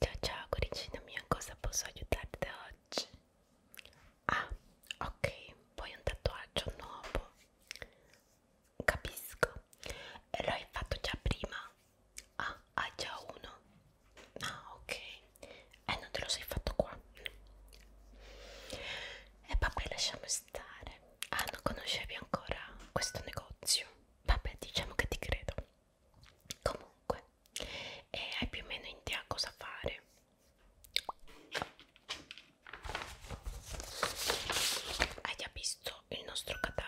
Ciao ciao coricina mia, cosa posso aiutarti oggi? Ah, ok, vuoi un tatuaggio nuovo? Capisco, lo hai fatto già prima? Ah, hai già uno? Ah, ok, eh non te lo sei fatto qua? E vabbè, lasciamo stare. Ah, non conoscevi ancora questo negozio? Vabbè, diciamo che ti credo comunque e eh, hai più o meno in te a cosa fare hai già visto il nostro catalogo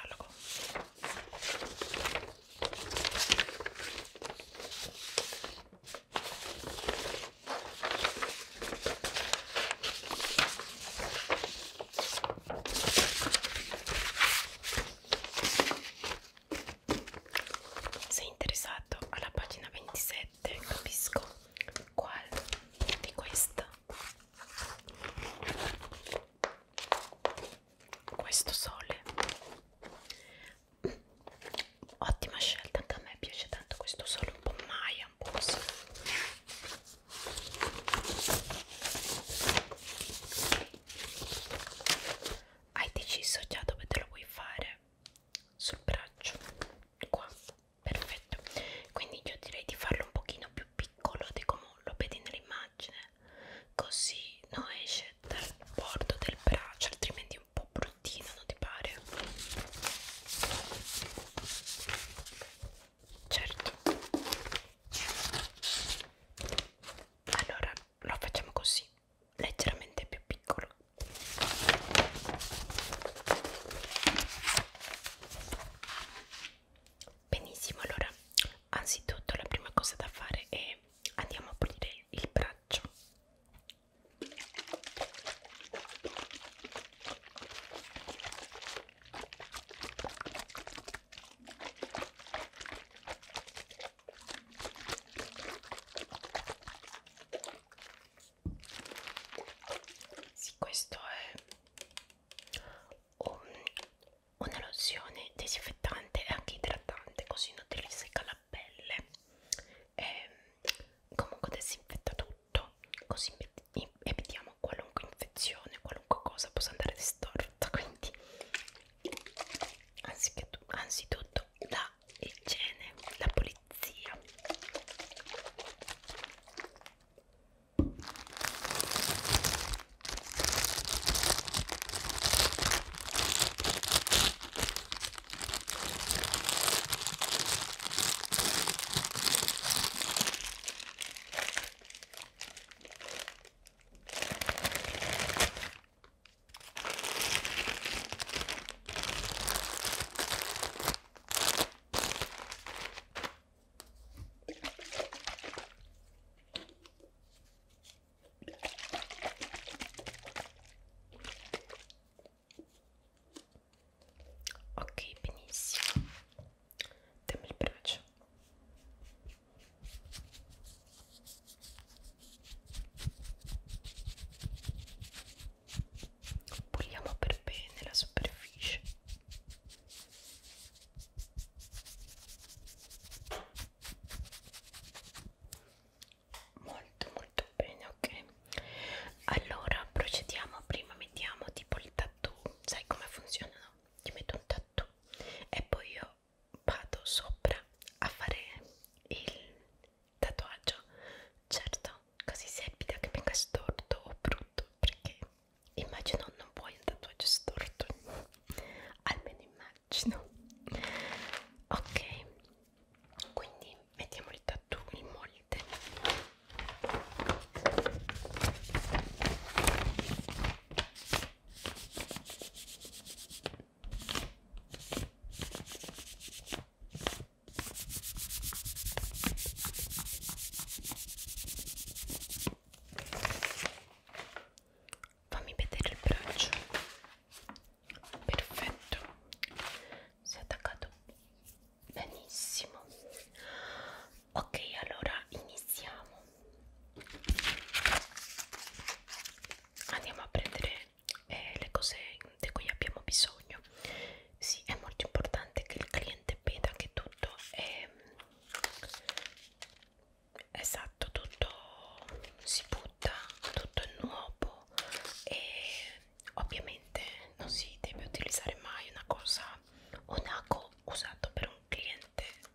sei interessato alla pagina 27? Capisco qual di questa? Questo sole. Ottima scelta, anche a me piace tanto questo sole, un po' maia, un po' così hai deciso già dove te lo vuoi fare sul braccio qua perfetto quindi io direi di farlo un pochino più piccolo di come lo vedi nell'immagine così non esce dal bordo del braccio altrimenti è un po' bruttino non ti pare certo allora lo facciamo così leggermente più piccolo benissimo allora anzitutto la prima cosa da fare è andiamo a pulire il braccio sì, questo è un'eruzione disinfettante e anche idratante, così non ti riseca la pelle. E comunque disinfetta tutto, così evitiamo qualunque infezione, qualunque cosa possa andare distorta. Quindi anzitutto la igiene, la pulizia. Ok, benissimo. Dammi il braccio. Puliamo per bene la superficie. Molto molto bene, ok. Allora procediamo, prima mettiamo tipo il tattoo, sai come funziona? No? Ti metto un tattoo e poi io io vado sopra a fare il tatuaggio certo così sepida che venga storto o brutto perché immagino non vuoi un tatuaggio storto almeno immagino ok quindi mettiamo il tattoo il molde Fammi vedere il braccio. Perfetto. Si è attaccato benissimo. Ok, allora iniziamo andiamo a prendere eh, le cose di cui abbiamo bisogno sì è molto importante che il cliente veda che tutto è esatto tutto si butta tutto è nuovo e ovviamente non si deve utilizzare mai una cosa un ago usato per un cliente cliente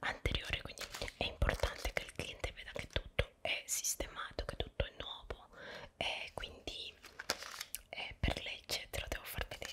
anteriore quindi è importante che il cliente veda che tutto è sistemato che tutto è nuovo e quindi eh, per legge te lo devo far vedere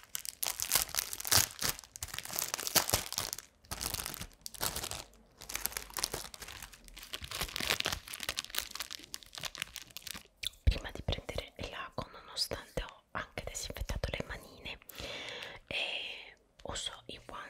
prima di prendere il lago nonostante ho anche disinfettato le manine e uso i guanti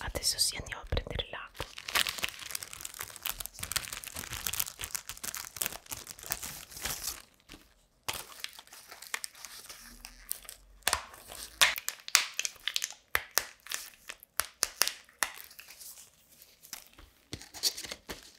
Adesso sì andiamo a prendere l'acqua.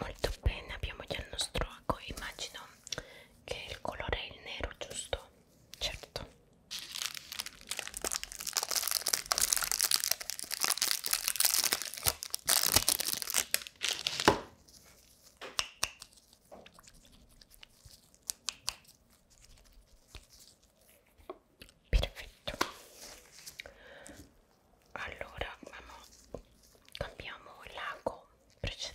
Molto bene, abbiamo già il nostro ago, immagino che il colore è il nero, giusto? Certo perfetto allora mamma, cambiamo l'ago precedente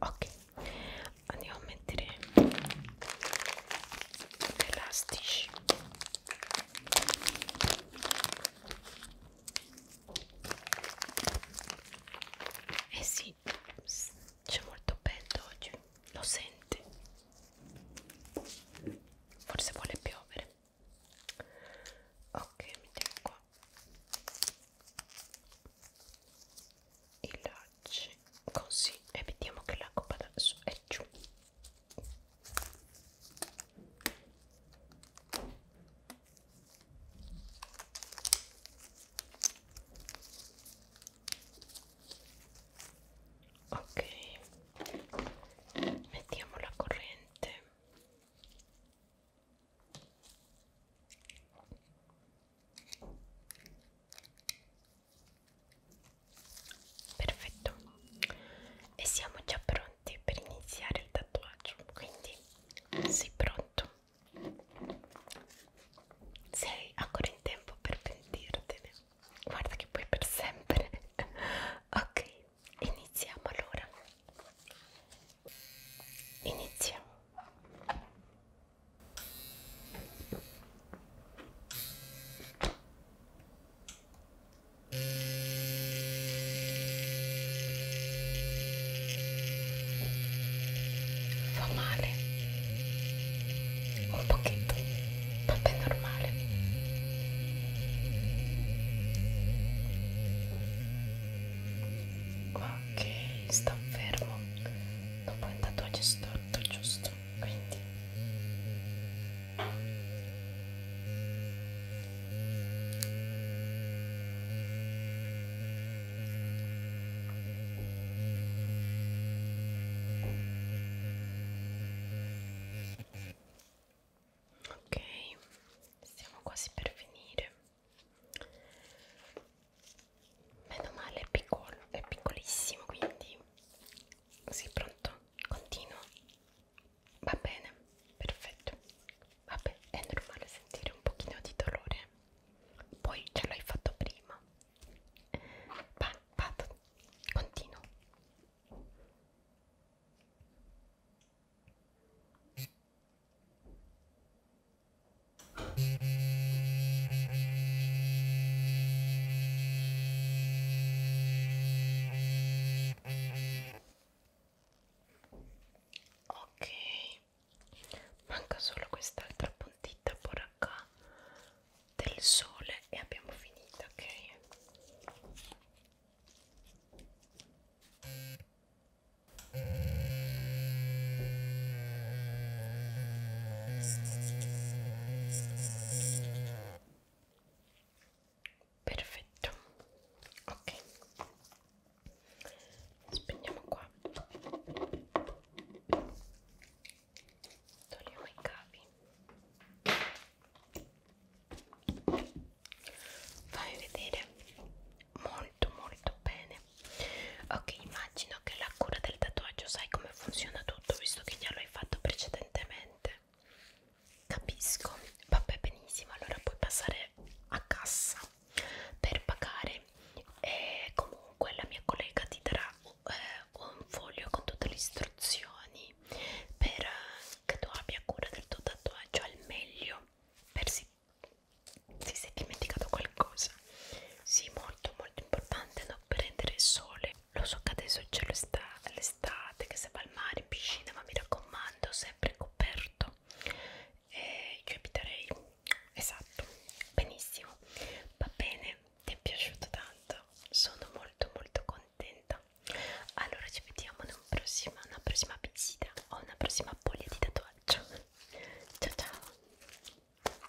ok andiamo a mettere gli elastici eh sì c'è molto vento oggi lo sente forse vuole piovere ok mettiamo qua i lacci così e vediamo che la copa adesso è giù ok mettiamo la corrente perfetto e siamo già pronti per iniziare il tatuaggio quindi sei pronto sei ancora in tempo per pentirtene guarda che puoi per sempre ok iniziamo allora iniziamo Fa male un pochetto, vabbè normale. Ok, sta fermo. Dopo il tatuaggio storto, giusto? tutto quindi ok siamo quasi per finire meno male è piccolo è piccolissimo quindi sei pronto continuo va bene perfetto vabbè è normale sentire un pochino di dolore poi ce l'hai fatto prima va vado continuo Ok, manca solo quest'altra puntita poracca del sole e abbiamo finito, ok? perfetto ok spegniamo qua togliamo i cavi fammi vedere molto molto bene ok ma immagino che la cura del tatuaggio sai come funziona tutto visto che già l'hai fatto precedentemente capisco vabbè benissimo allora puoi passare a cassa per pagare e comunque la mia collega ti darà eh, un foglio con tutte le istruzioni per eh, che tu abbia cura del tuo tatuaggio al meglio per si, si sei dimenticato qualcosa sì, molto molto importante non prendere il sole. Lo so che adesso c'è l'estate, che si va al mare, in piscina, ma mi raccomando, sempre coperto. E io eviterei, esatto, benissimo. Va bene, ti è piaciuto tanto, sono molto molto contenta. Allora ci vediamo in un prossima, una prossima visita o una prossima poglia di tatuaggio. Ciao ciao!